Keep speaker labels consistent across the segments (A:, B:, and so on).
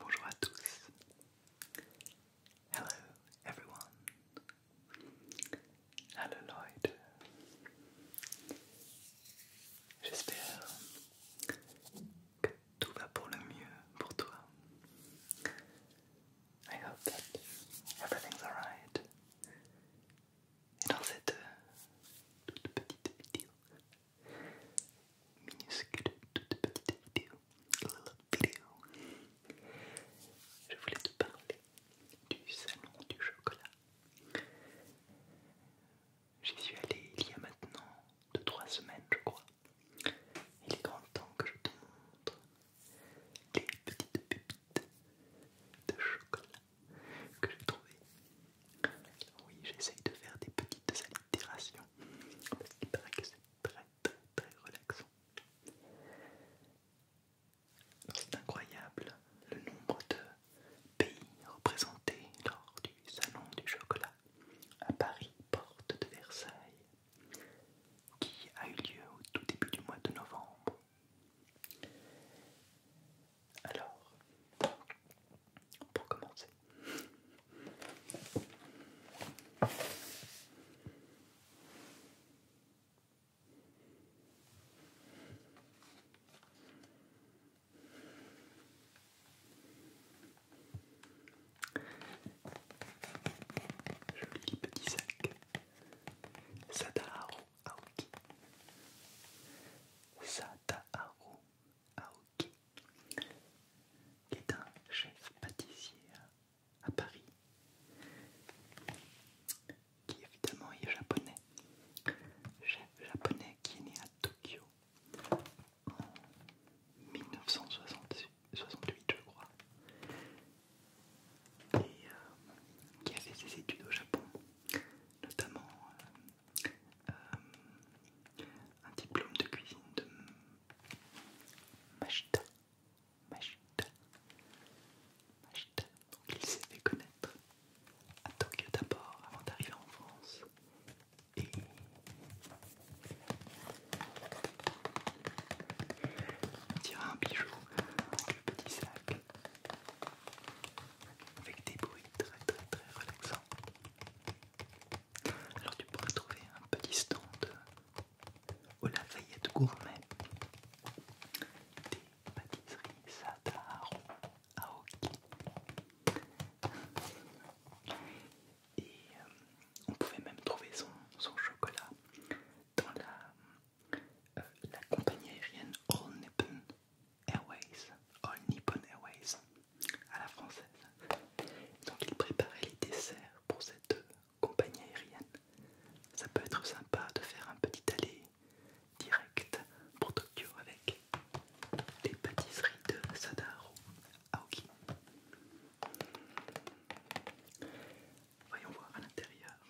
A: Bonjour à tous. Hello, everyone. Hello, Lloyd. J'espère que tout va pour le mieux pour toi. I hope that everything's alright Et dans cette euh, toute petite vidéo, minuscule toute petite vidéo, vidéo, je voulais te parler du salon du chocolat. J'y suis allé il y a maintenant 2-3 semaines, je crois. Il est grand temps que je te montre les petites pépites de chocolat que j'ai trouvé. Oui, j'essaye de faire des petites allitérations parce qu'il paraît que c'est très très très relaxant. C'est incroyable le nombre de pays représentés lors du Salon du Chocolat à Paris, porte de Versailles, qui a eu lieu au tout début du mois de novembre alors, pour commencer, joli petit sac, Sadaro Aoki Sadaharu Aoki qui est un chef pâtissier à, Paris qui évidemment est japonais chef japonais qui est né à Tokyo en 1968 je crois et euh, qui a fait ses études au Japon, notamment euh, euh, un diplôme de cuisine de machita, Donc il s'est fait connaître à Tokyo d'abord avant d'arriver en France. Et on dira un bijou, le petit sac avec des bruits très très très relaxants. Alors tu pourrais trouver un petit stand au Lafayette Gourmet, des pâtisseries Sadaro Aoki. Et euh, on pouvait même trouver son, son chocolat dans la euh, la compagnie aérienne All Nippon Airways, Airways, à la française. Donc il préparait les desserts pour cette compagnie aérienne. Ça peut être sympa de faire un petit aller direct pour Tokyo avec les pâtisseries de Sadaro Aoki. Voyons voir à l'intérieur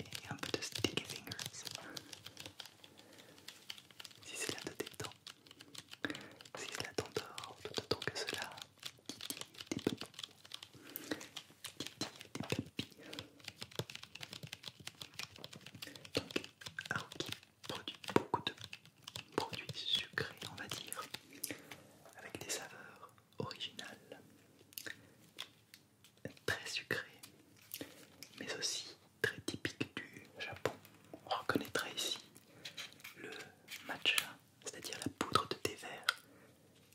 A: et un peu de sticky fingers si cela te détend si cela t'endort tout autant que cela Des donc produit beaucoup de produits sucrés on va dire avec des saveurs original, très sucré, mais aussi très typique du Japon. On reconnaîtra ici le matcha, c'est-à-dire la poudre de thé vert,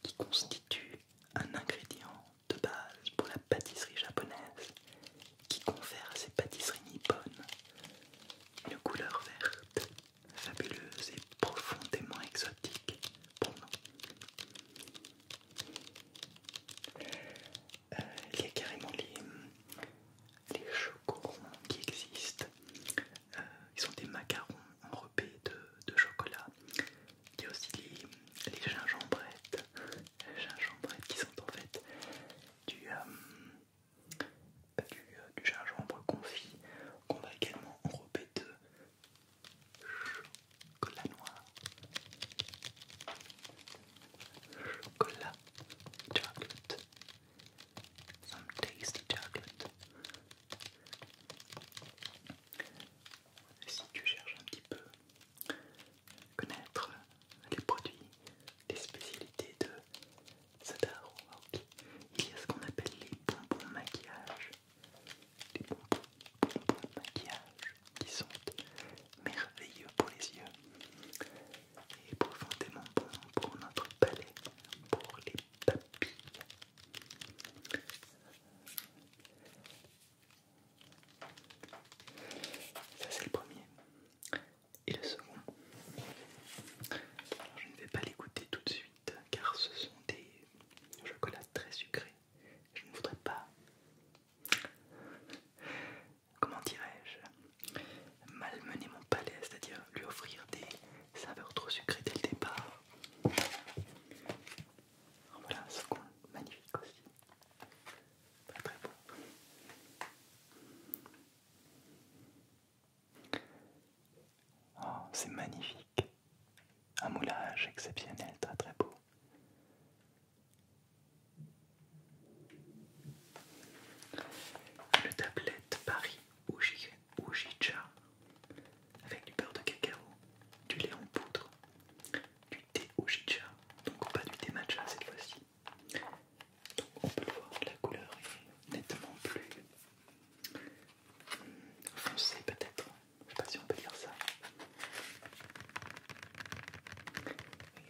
A: qui constitue un ingrédient de base pour la pâtisserie japonaise, qui confère à ces pâtisseries nippones une couleur verte fabuleuse et profondément exotique pour nous. Euh, il y a carrément les, chocorons qui existent. Euh, ils sont des macarons enrobés de, de chocolat. Il y a aussi les, gingembrettes. Les gingembrettes qui sont en fait du... Euh, du, gingembre confit qu'on va également enrobé de, Chocolat noir. Chocolat. Chocolate. Some tasty chocolate. Si tu cherches un petit peu connaître les produits, les spécialités de cet il y a ce qu'on appelle les bonbons maquillage des bonbons, de maquillage qui sont merveilleux pour les yeux et profondément bons pour notre palais, pour les papilles. Ça c'est le premier. Et le second. je ne vais pas l'écouter tout de suite car ce sont des chocolats très sucrés. Je ne voudrais pas, comment dirais-je, malmener mon palais, c'est-à-dire lui offrir des saveurs trop sucrées dès le départ. Voilà un second magnifique aussi. Pas très beau. Oh, c'est magnifique. Un moulage exceptionnel, très très beau. Une tablette Paris Ujicha avec du beurre de cacao, du lait en poudre, du thé Ujicha, donc pas du thé matcha cette fois-ci. on peut le voir, la couleur est nettement plus foncé peut-être, je sais pas si on peut dire ça.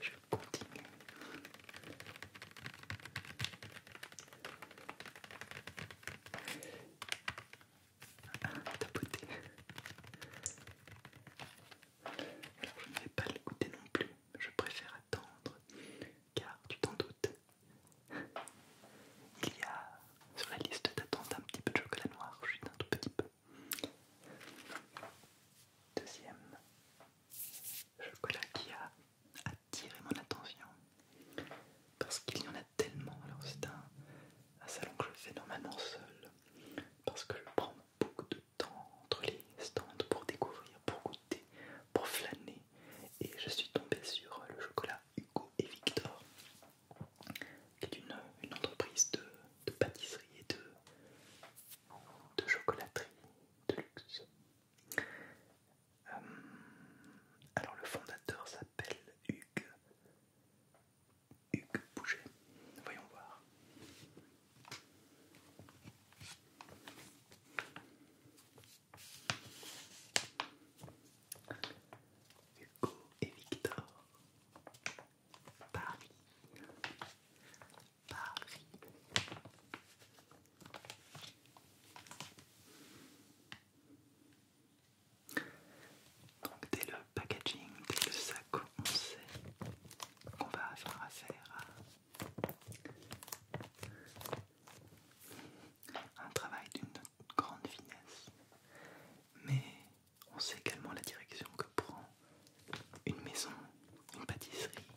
A: je continue. Ah, tapoter. Alors je ne vais pas l'écouter non plus, je préfère attendre car tu t'en doutes, il y a sur la liste d'attente un petit peu de chocolat noir, juste un tout petit peu. Deuxième chocolat qui a attiré mon attention parce qu'il y en a tellement. Alors, c'est un, un salon que je fais normalement seul parce que je prends beaucoup de temps entre les stands pour découvrir, pour goûter, pour flâner. Et je suis tombée sur le chocolat Hugo et Victor qui est une, entreprise de, pâtisserie et de, chocolaterie de luxe. Euh, alors le fondateur s'appelle Hugues. Hugues Voyons voir. Hugo et Victor. Paris. Paris. Donc dès le packaging, dès le sac, on sait qu'on va s'en affaire un travail d'une grande finesse. Mais on sait également la direction que prend une maison, une pâtisserie,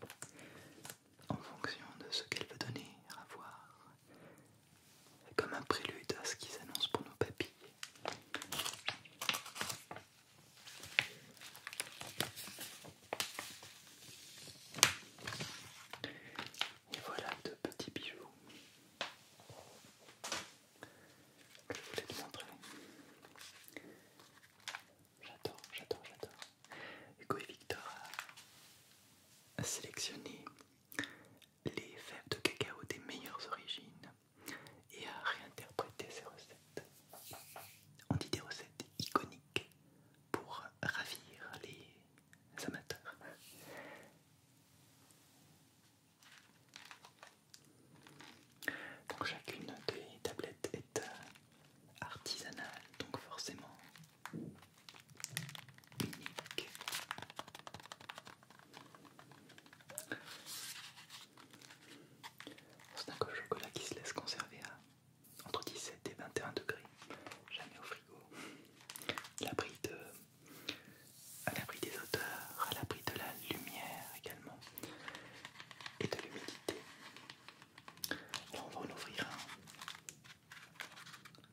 A: en fonction de ce qu'elle veut donner à voir, comme un prélude à ce qu'ils annoncent pour nos papilles. Et voilà deux petits bijoux je voulais te montrer. J'adore, j'adore, j'adore. Hugo Victor a sélectionné les fèves de cacao des meilleures origines et a réinterprété ces recettes. On dit des recettes iconiques pour ravir les les amateurs. chacune des tablettes est euh, artisanale, donc forcément unique. C'est un chocolat qui se laisse conserver à entre 17 et 21 degrés, jamais au frigo. pris de euh, à l'abri des odeurs, à l'abri de la lumière également et de l'humidité. on va en ouvrir un.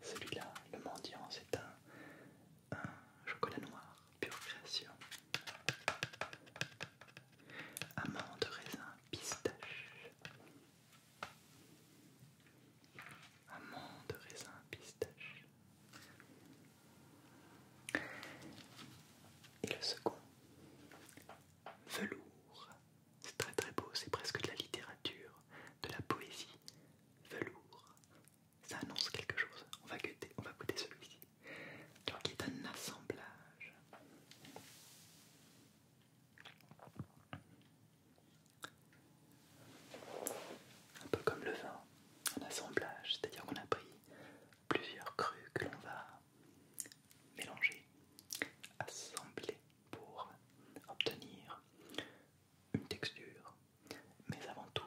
A: Celui-là, le mendiant, c'est un, chocolat noir, pure création. de raisin, pistache de raisin, pistache. Et le second, velours. C'est très très beau, c'est presque de la littérature, de la poésie. Velours. Ça annonce quelque chose. On va goûter, on va goûter celui-ci. qui est un assemblage. Un peu comme le vin, un assemblage, c'est-à-dire qu'on a pris plusieurs crus que l'on va mélanger, assembler pour obtenir une texture, mais avant tout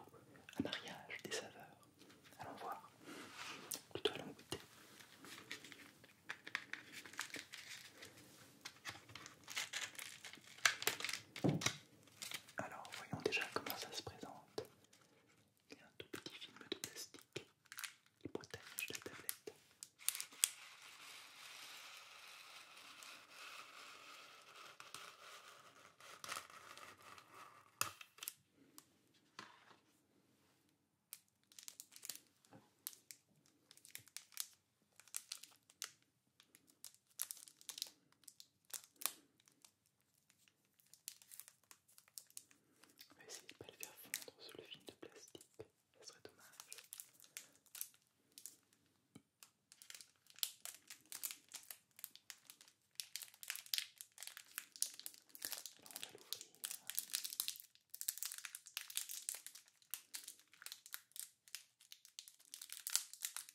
A: un mariage des saveurs. Allons voir, plutôt allons goûter. Alors voyons déjà comment ça se présente. Il y a un tout petit film de plastique qui protège la tablette. On va essayer de pas le faire fondre sous le film de plastique, ce serait dommage. on va l'ouvrir.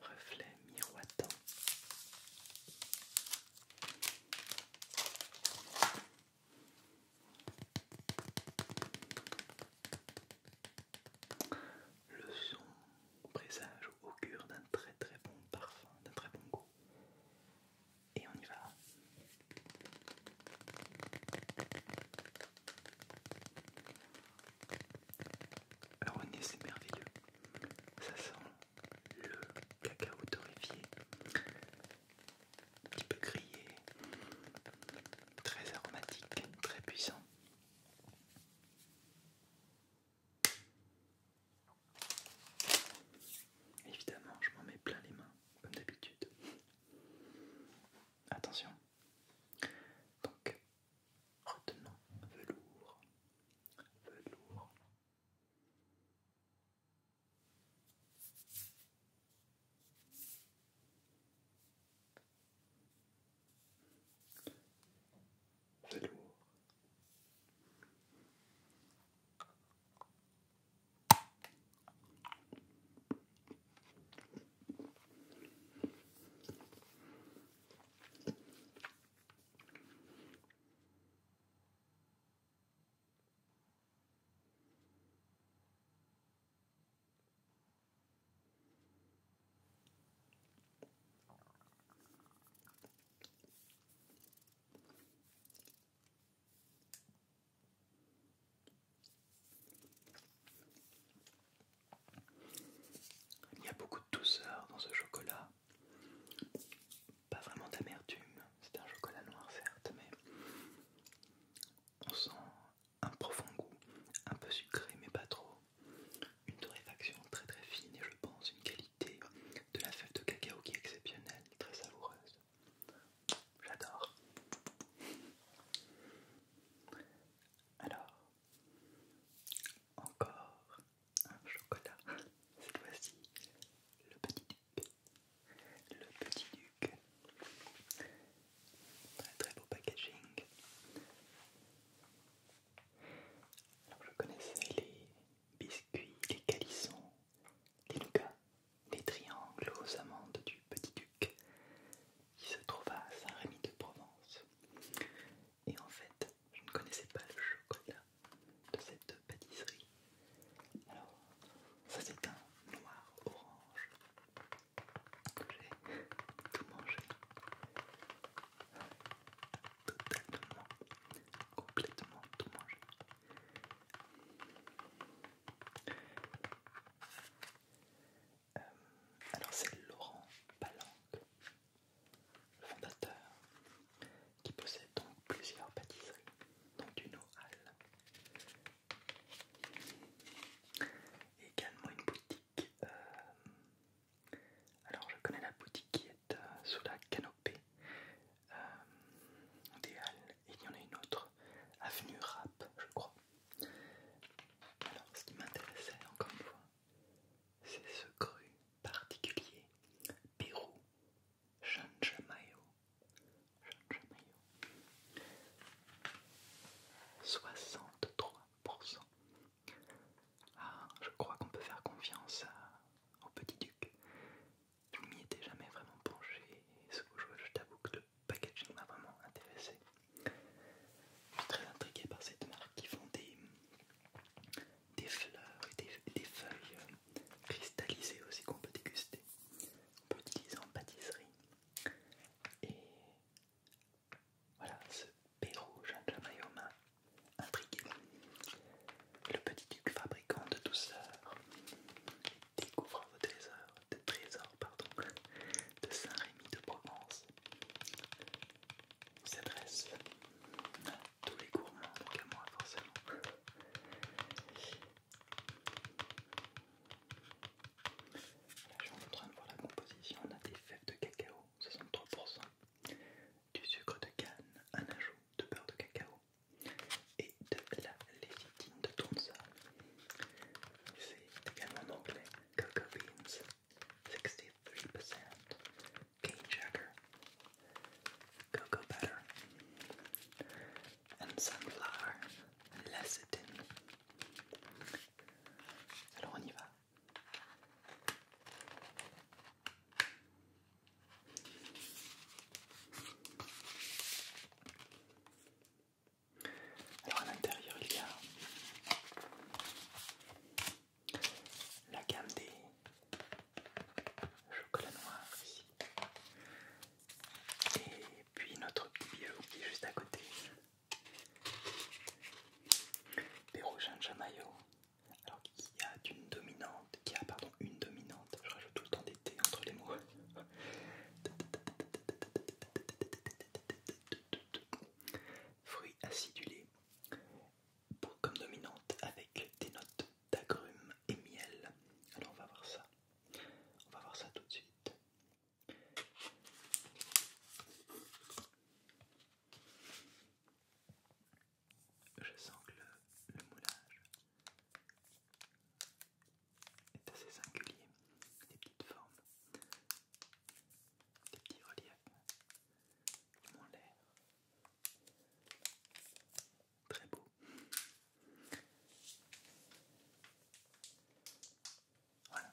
A: Reflet miroitant. Le son présage augure d'un très très bon parfum, d'un très bon goût. Et on y va. Alors c'est merveilleux. Ça sent le cacao torréfié, un petit peu grillé, très aromatique, très puissant. Évidemment, je m'en mets plein les mains, comme d'habitude. Attention. Donc, retenons velours, velours lourd. Il y a beaucoup de douceur dans ce chocolat, pas vraiment d'amertume, c'est un chocolat noir certes, mais on sent un profond goût, un peu sucré mais pas trop une torréfaction très très fine et je pense une qualité de la fève de cacao qui est exceptionnelle, très savoureuse. J'adore. Alors, encore un chocolat. Cette fois-ci, le petit duc. Le petit duc. Très très beau packaging je connaissais les biscuits, les calissons, les nougats, les triangles aux amandes du Petit-Duc qui se trouve à Saint-Rémy-de-Provence. Et en fait, je ne connaissais pas le chocolat de cette pâtisserie. Alors, ça c'est un noir orange que j'ai tout mangé totalement, complètement tout euh, alors c'est Laurent Palanque, le fondateur, qui possède donc plusieurs pâtisseries, donc une au également une boutique euh, alors je connais la boutique qui est euh, sous la canopée euh, des Halles il y en a une autre, Avenue Rap, je crois. Alors ce qui m'intéressait encore une fois, c'est ce cru particulier Pérou Chanchamayo. Chanchamayo. 63 ah, je crois qu'on peut faire confiance au petit duc. Je ne m'y étais jamais vraiment penché ce que je, t'avoue que le packaging m'a vraiment intéressé. Je suis très intrigué par cette marque qui font des, des fleurs et des, feuilles euh, cristallisées aussi qu'on peut déguster. On peut utiliser en pâtisserie. Voilà, ce Pérou Jean Mayoma intrigué. Le petit duc fabricant de douceur découvre vos trésors, de trésors de Saint-Rémy de Provence. Il s'adresse à tous les gourmands, donc moi forcément. Là, je suis en train de voir la composition. On a des fèves de cacao, 63%, du sucre de canne, un ajout de beurre de cacao et de la lécithine de Tonsa. C'est également en anglais Cocoa Beans 63%, Cane Sugar, Cocoa Butter, and Sunflower Lecithin. Alors on y va. Alors à l'intérieur il y a la gamme des chocolats noirs et puis notre petit qui est juste à côté des rouges en jamaïo alors qu'il y a une dominante, qui a pardon une dominante, je rajoute tout le temps des T entre les mots. Fruits acidulés, pour, comme dominante avec des notes d'agrumes et miel. Alors on va voir ça. On va voir ça tout de suite je sens que le, moulage est assez singulier, des petites formes, des petits reliefs, moins l'air, très beau. Voilà.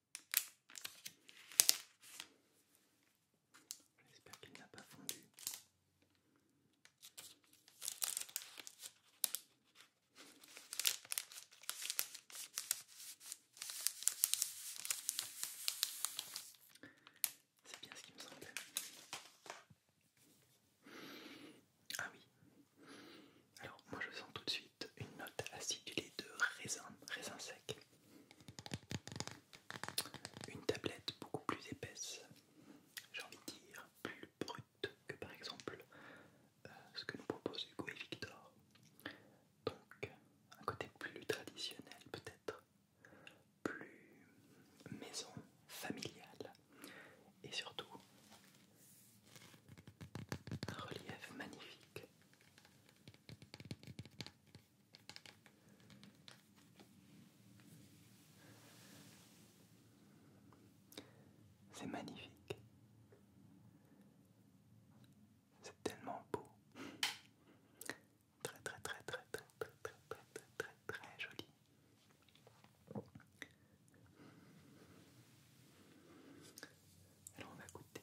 A: J'espère qu'il n'a pas fondu. C'est bien ce qui me semblait. Ah oui. Alors moi je sens tout de suite une note acidulée de raisin, raisin sec. Une tablette beaucoup plus épaisse, j'ai envie de dire plus brute que par exemple euh, ce que nous proposent Hugo et Victor. Donc un côté plus traditionnel peut-être, plus maison, familiale et surtout un relief magnifique c'est magnifique. C'est tellement beau. Très très très très très très très très très très très joli. Alors on va goûter.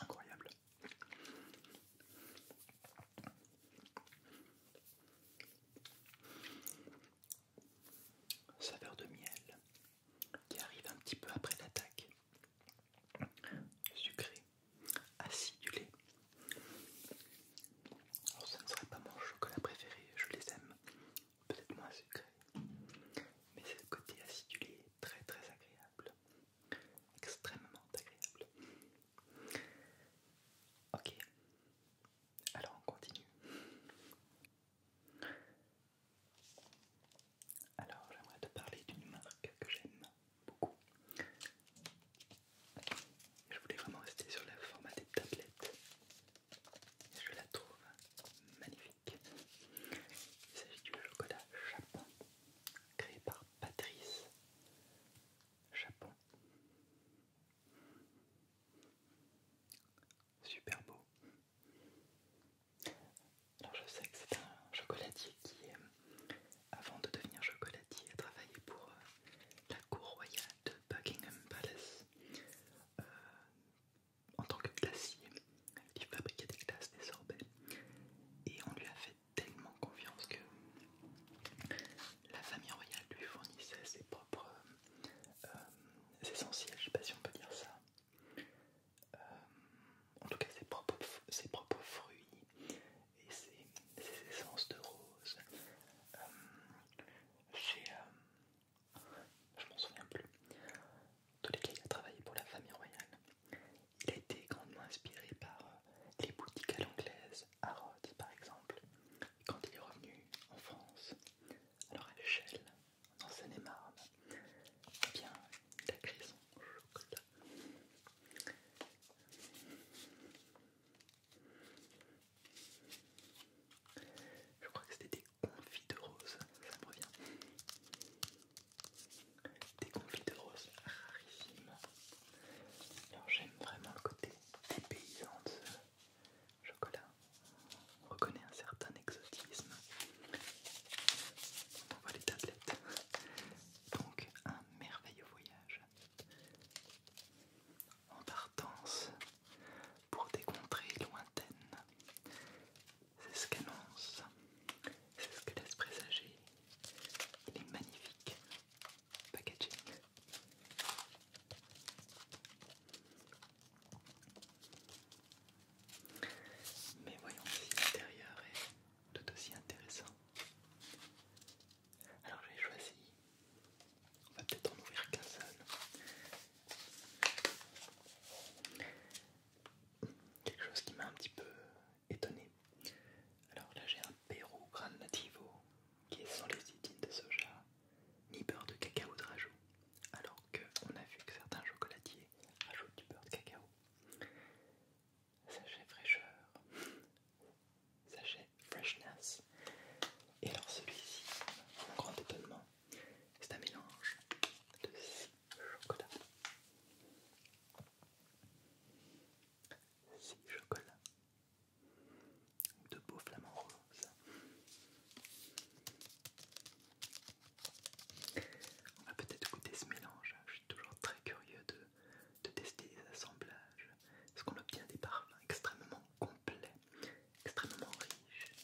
A: Incroyable. Saveur de miel qui arrive un petit peu après l'attaque. Sucré, acidulé. Alors ça ne serait pas mon chocolat préféré, je les aime peut-être moins sucré, mais ce côté acidulé très très agréable, extrêmement agréable. Ok, alors on continue. Alors j'aimerais te parler d'une marque que j'aime beaucoup. Je voulais vraiment rester sur le format des tablettes. Je la trouve magnifique. Il s'agit du chocolat Japon, créé par Patrice Japon. Super beau. Alors je sais que c'est un chocolatier qui, avant de devenir chocolatier, a travaillé pour euh, la cour royale de Buckingham Palace. Euh, en tant que glacier. Il fabriquait des glaces, des sorbets. Et on lui a fait tellement confiance que la famille royale lui fournissait ses propres euh, essentiels, je sais pas si on peut dire ça. Euh, en tout cas, ses propres, ses propres fruits et ses, essences de roses. Euh, je m'en souviens plus. Dans les il a travaillé pour la famille royale. Il a été grandement inspiré par euh, les boutiques à l'anglaise, à Rhodes par exemple. quand il est revenu en France, alors à l'échelle, en Seine-et-Marne, eh bien, il a créé chocolat. Je crois que c'était des de rose, ça me revient. Des confites de rose rarissimes. j'aime vraiment le côté dépaysant de ce chocolat. On reconnaît un certain exotisme. On voit les tablettes. Donc un merveilleux voyage. En partance pour des contrées lointaines, c'est ce qu'annonce, c'est ce que laisse présager les magnifiques packaging. Mais voyons si l'intérieur est tout aussi intéressant. Alors je j'ai choisi, on va peut-être en ouvrir qu'un seul quelque chose qui m'a un petit peu étonné. Alors là j'ai un Perro Gran Nativo qui est sans idines de soja ni beurre de cacao de rajout, alors on a vu que certains chocolatiers rajoutent du beurre de cacao. Sachet fraîcheur, sachet freshness. Et alors celui-ci, mon grand étonnement, c'est un mélange de chocolat. si chocolat De beaux flamants roses. On va peut-être goûter ce mélange. Je suis toujours très curieux de, de tester les assemblages. Est-ce qu'on obtient des parfums extrêmement complets, extrêmement riches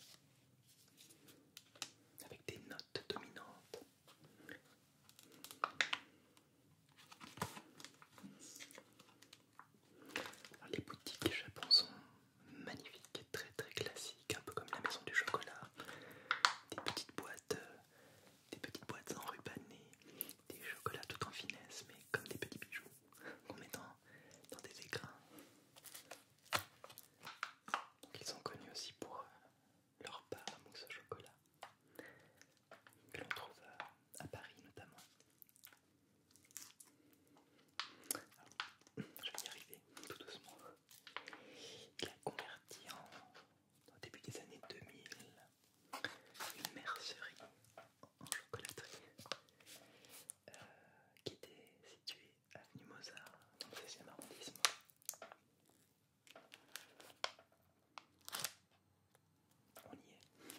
A: avec des notes dominantes. les boutiques japon sont magnifiques, très très classiques, un peu comme la maison du chocolat. Des petites boîtes, euh, des petites boîtes enrubannées, des chocolats tout en finesse, mais comme des petits bijoux qu'on met dans des écrins. Ils sont connus aussi pour euh, leur pas à mousse au chocolat, que l'on trouve à Paris notamment. je vais y arriver tout doucement. Il a converti en, au début des années 2000 une mercerie en chocolaterie euh, qui était située avenue Mozart, donc c'est 16 arrondissement. On y est.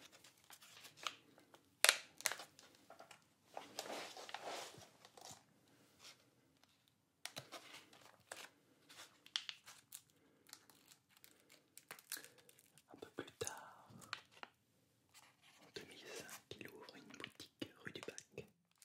A: Un peu plus tard, en 2005, il ouvre une boutique rue du Bac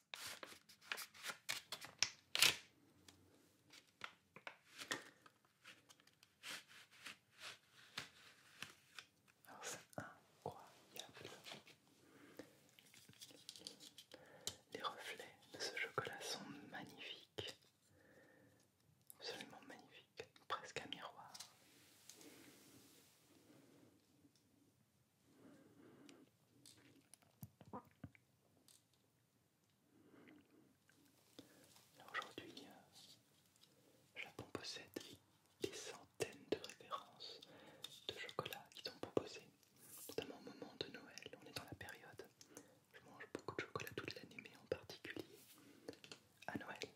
A: c'est incroyable. Les reflets de ce chocolat sont magnifiques. Absolument magnifiques. Presque un miroir. Aujourd'hui, Japon possède des centaines de références de chocolat qui sont proposées, notamment au moment de Noël. On est dans la période, je mange beaucoup de chocolat toute l'année, mais en particulier à Noël.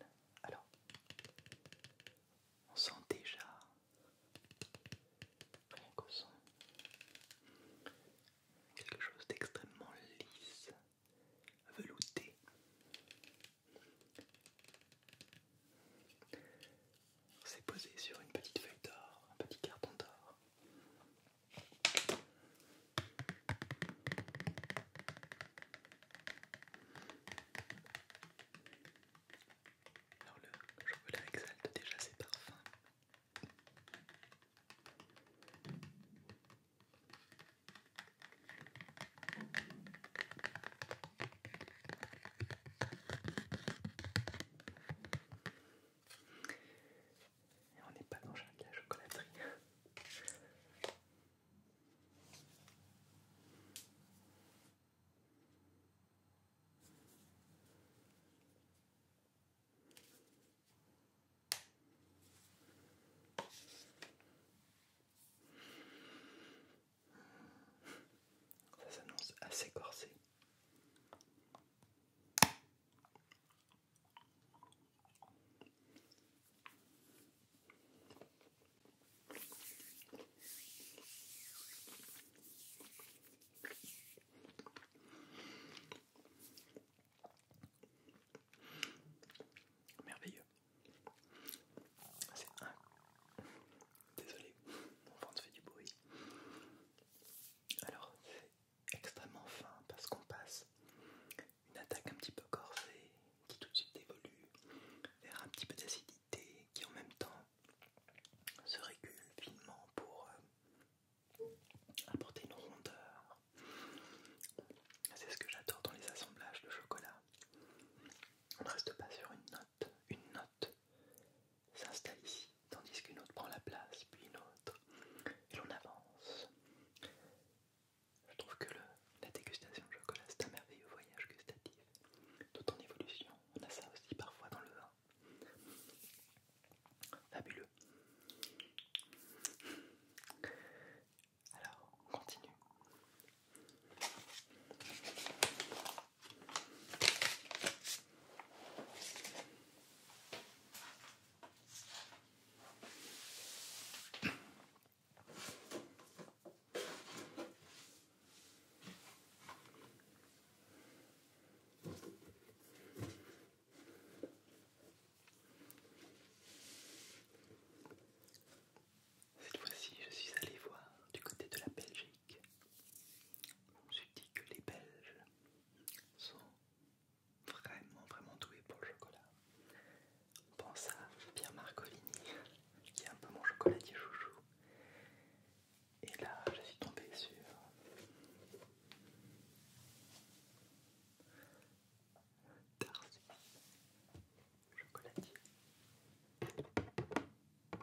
A: Alors, on sent déjà Quelque chose d'extrêmement lisse, velouté. C'est posé sur une petite feuille d'or, un petit carton d'or. Alors le chocolat exalte déjà ses parfums. on n'est pas dans chaque la chocolaterie. Ça s'annonce assez corsé. Merveilleux. C'est un. Désolé, mon ventre fait du bruit. Alors, c'est extrêmement fin parce qu'on passe une attaque un petit peu corsée qui tout de suite évolue vers un petit peu d'acidité qui en même temps se régule finement pour euh, apporter une rondeur. C'est ce que j'adore dans les assemblages de chocolat. On ne reste pas sur une note. Une note s'installe ici, tandis qu'une autre prend la place, puis une autre, et on avance. Je trouve que la dégustation de chocolat, c'est un merveilleux voyage gustatif, tout en évolution. On a ça aussi parfois dans le vin. Fabuleux. Alors, on continue. Cette fois-ci, je suis allé voir du côté de la Belgique. Je me suis dit que les Belges sont vraiment, vraiment doués pour le chocolat. On pense à Pierre Marcolini, qui est un peu mon chocolat chocolatier chouchou. Et là, je suis tombé sur le chocolatier. Donc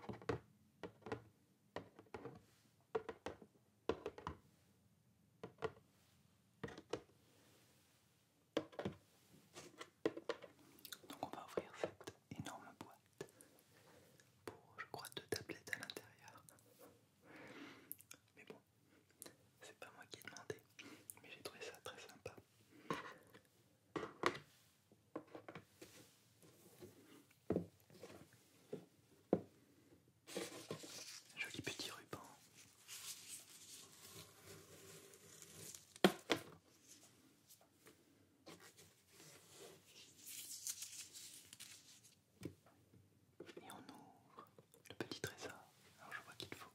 A: on va ouvrir cette énorme boîte pour je crois deux tablettes à l'intérieur. Mais bon, c'est pas moi qui ai demandé, mais j'ai trouvé ça très sympa. Joli petit ruban. Et on ouvre le petit trésor. Alors je vois qu'il faut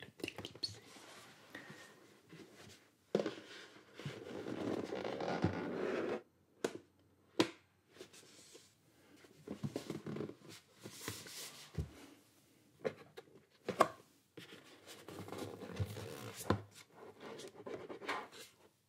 A: le déclipser.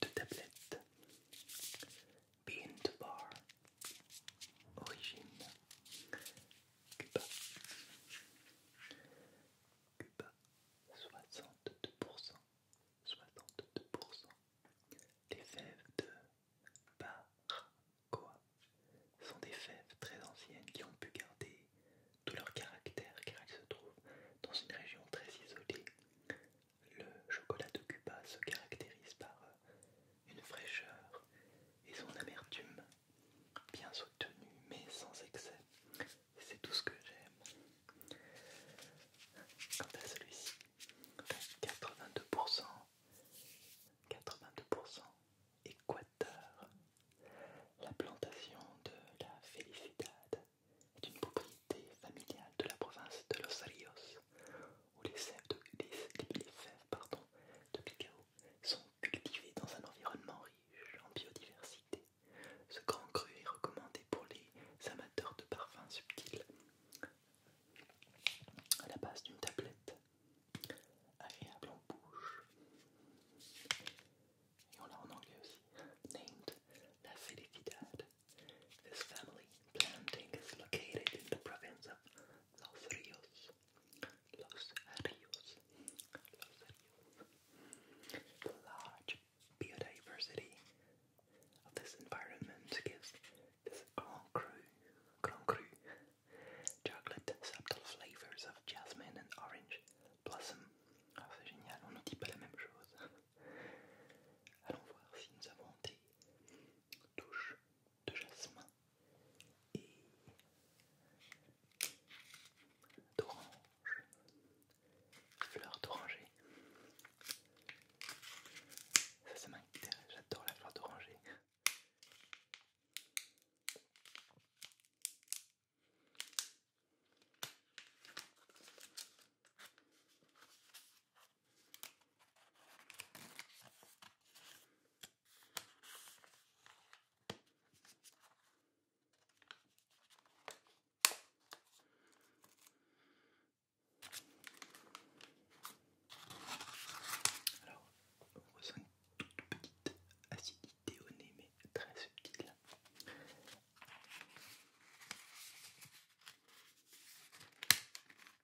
A: de tablettes Bean to Bar, origine Cuba, Cuba 62%, 62%. Les fèves de Barcoa sont des fèves très anciennes qui ont pu garder tout leur caractère car elles se trouvent dans une région très isolée. Le chocolat de Cuba se caractérise par euh, une fraîcheur et son amertume, bien soutenue mais sans excès. C'est tout ce que j'aime. Quant à celui-ci, 82%, 82% Équateur. La plantation de la Felicidad est une propriété familiale de la province de Los Ríos où les fèves de, pardon, cacao sont cultivées dans un environnement riche en biodiversité. Ce grand cru est recommandé pour les amateurs de parfums subtils. À la base d'une tablette, agréable en bouche, et on l'a en anglais aussi, named La Felicidad. This family planting is located in the province of los ríos, los ríos, los ríos. The large biodiversity of this environment gives this Grand Cru, Grand Cru, chocolate subtle flavors of jasmine and orange blossom. Ah, c'est génial, on ne dit pas la même chose. Allons voir si nous avons des touches de jasmin et d'orange, fleur d'oranger. Ça, c'est m'intéresse, j'adore la fleur d'oranger. Alors, on ressent une toute petite acidité au nez, mais très subtile.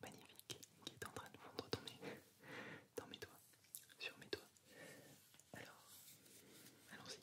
A: magnifique qui est en train de fondre dans dans mes doigts, sur mes doigts. Alors, allons-y.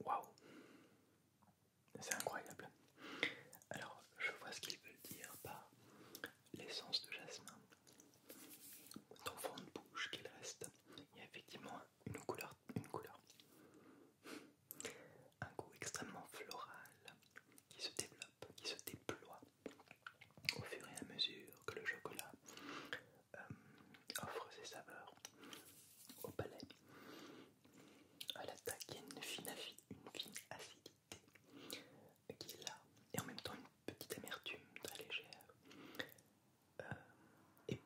A: Waouh C'est incroyable. Alors, je vois ce qu'ils veulent dire par l'essence de jasmin. Ton fond de bouche qu'il reste, il y a effectivement une couleur, une couleur, un goût extrêmement floral qui se développe, qui se déploie au fur et à mesure que le chocolat euh, offre ses saveurs au palais. À attaque, il y a une fine, une acidité qui est là, et en même temps une petite amertume très légère, euh, et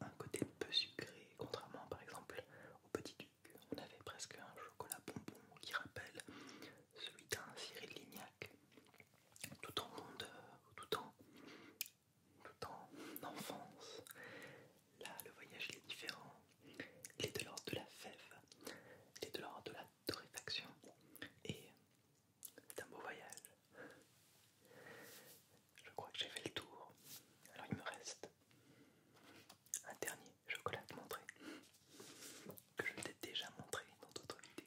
A: un côté peu sucré, contrairement par exemple au petit duc. On avait presque un chocolat bonbon qui rappelle celui d'un Cyril Lignac, tout en, monde, tout en tout en enfance. Là, le voyage il est différent. Il est de l'ordre de la fève, il est de l'ordre de la torréfaction. Et c'est un beau voyage. Je crois que j'ai fait le tour. Alors il me reste un dernier chocolat à montrer. Que je t'ai déjà montré dans d'autres vidéos.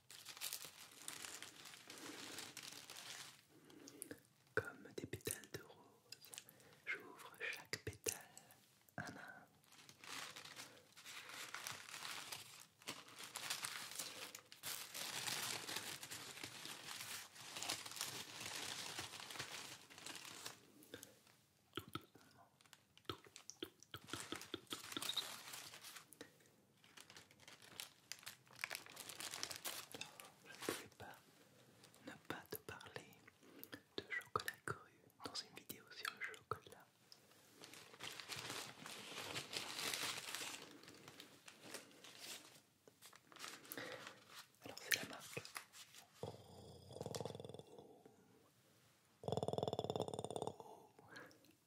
A: Comme des pétales de rose, j'ouvre chaque pétale à je ne pouvais pas ne pas te parler de chocolat cru dans une vidéo sur le chocolat. Alors c'est la marque.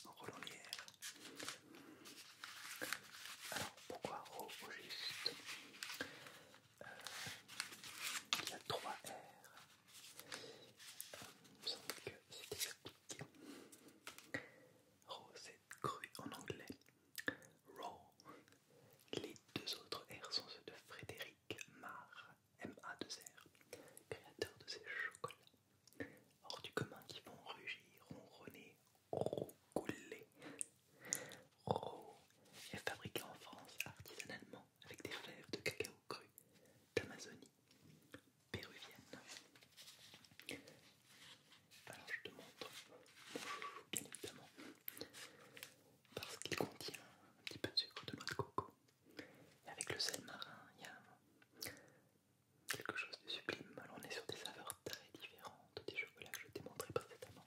A: Roland Alors pourquoi Ro au juste euh, Il y a trois R. Il me semble que c'est expliqué. Ro c'est cru en anglais. Raw. Les deux autres R sont ceux de Frédéric Mar, M-A-2-R, créateur de ces chocolats hors du commun qui vont rugir, ronronner, roucouler. Ro est fabriqué en France artisanalement avec des fèves de cacao cru d'Amazonie péruvienne. Alors je te montre mon bien évidemment parce qu'il contient un petit peu de sucre de noix de coco. Et avec le sel marin, il y a quelque chose de sublime. Alors on est sur des saveurs très différentes des chocolats que je t'ai montré précédemment.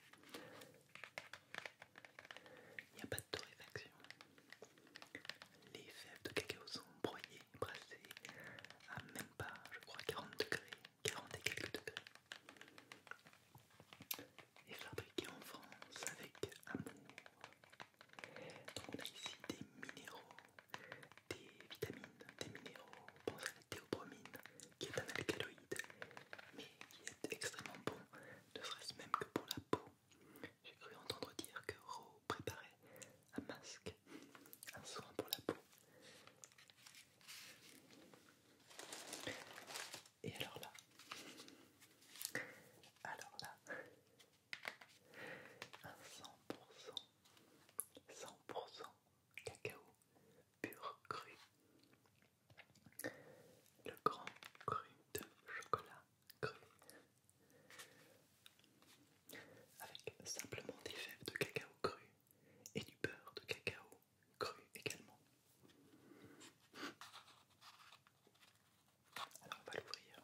A: Il n'y a pas de torréfaction. Les fèves de cacao sont broyées, brassées à même pas, je crois, 40 degrés, 40 et quelques degrés. Et fabriquées en France avec amour. Donc on a ici des minéraux, des vitamines, des minéraux, pense à la théobromine qui est un alcaloïde mais qui est extrêmement bon, ne serait-ce même que pour la peau. J'ai cru entendre dire que Ro préparait un masque, un soin pour la peau. Et alors là, alors là, un 100%, 100% cacao pur cru, le grand cru de chocolat cru, avec simplement des fèves de cacao cru et du beurre de cacao cru également. Alors on va l'ouvrir.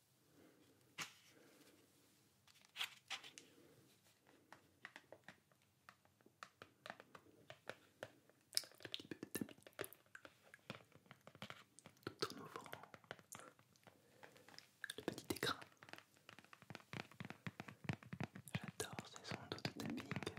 A: Un petit peu de timbique tout en ouvrant le petit écran. J'adore ces sons de timbique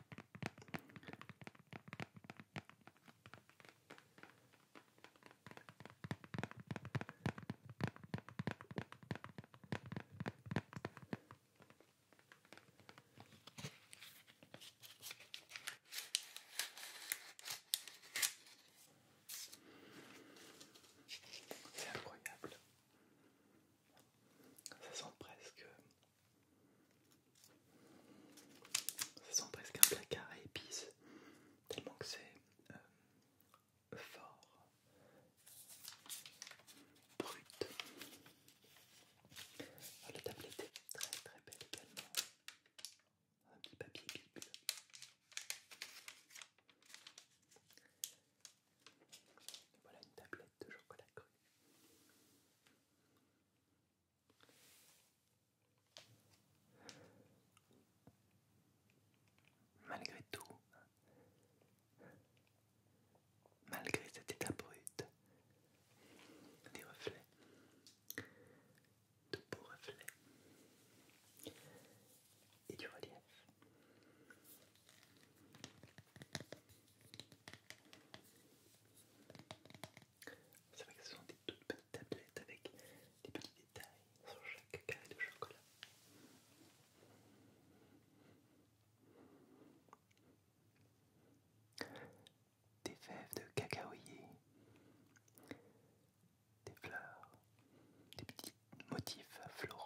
A: c'est incroyable. Ça sent presque... Ça sent presque un placard à épices, tellement que c'est euh, fort, brut. Ah, la tablette est très très belle également. Un petit papier Voilà une tablette de chocolat cru. Malgré tout, malgré cette état brute, des reflets, de beaux reflets et du relief. C'est vrai que ce sont des toutes petites tablettes avec des petits détails sur chaque carré de chocolat. Des fèves de cacaoyer, des fleurs, des petits motifs floraux.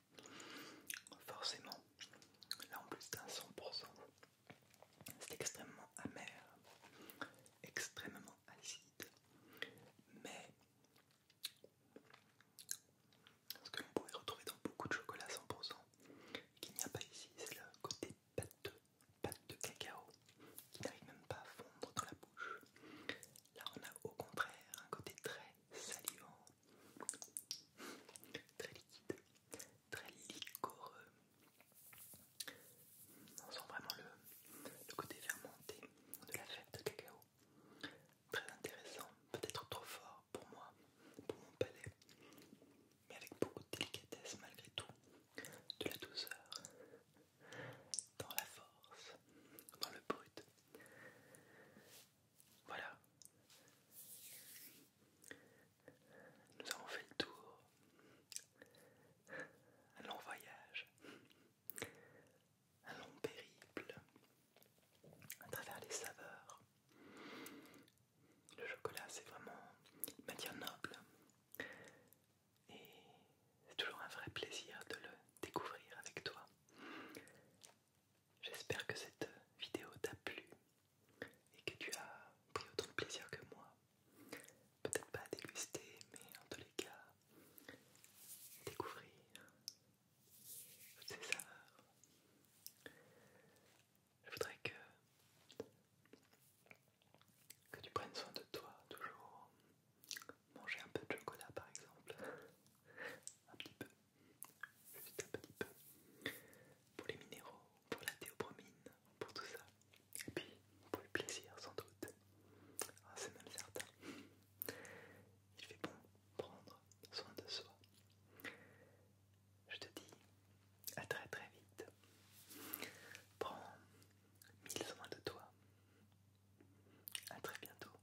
A: Forcément, là en plus d'un 100%, c'est extrêmement amer, extrêmement acide, mais ce que vous pouvez retrouver dans beaucoup de chocolat 100%, qu'il n'y a pas ici, c'est le côté pâte de cacao, qui n'arrive même pas à fondre dans la bouche. Là on a au contraire un côté très salivant, très liquide, très licoreux. On sent vraiment le, le côté fermenté de la fête de cacao. Très intéressant, peut-être trop fort pour moi, pour mon palais, mais avec beaucoup de délicatesse malgré tout, de la douceur, dans la force, dans le brut. Voilà. Nous avons fait le tour. Un long voyage. Un long périple. À travers les saveurs. Le chocolat, c'est vraiment une matière noble. Et c'est toujours un vrai plaisir de le découvrir avec toi. J'espère que cette vidéo t'a plu et que tu as pris autant de plaisir que moi. Peut-être pas à déguster, mais en tous les cas, découvrir toutes ces saveurs. Je voudrais que, que tu prennes soin de toi, toujours manger un peu de chocolat par exemple, un petit peu, un petit peu, pour les minéraux, pour la théobromine, pour tout ça, et puis pour le plaisir sans doute, ah, c'est même certain. Il fait bon prendre soin de soi. Je te dis à très très vite. Prends mille soins de toi. À très bientôt.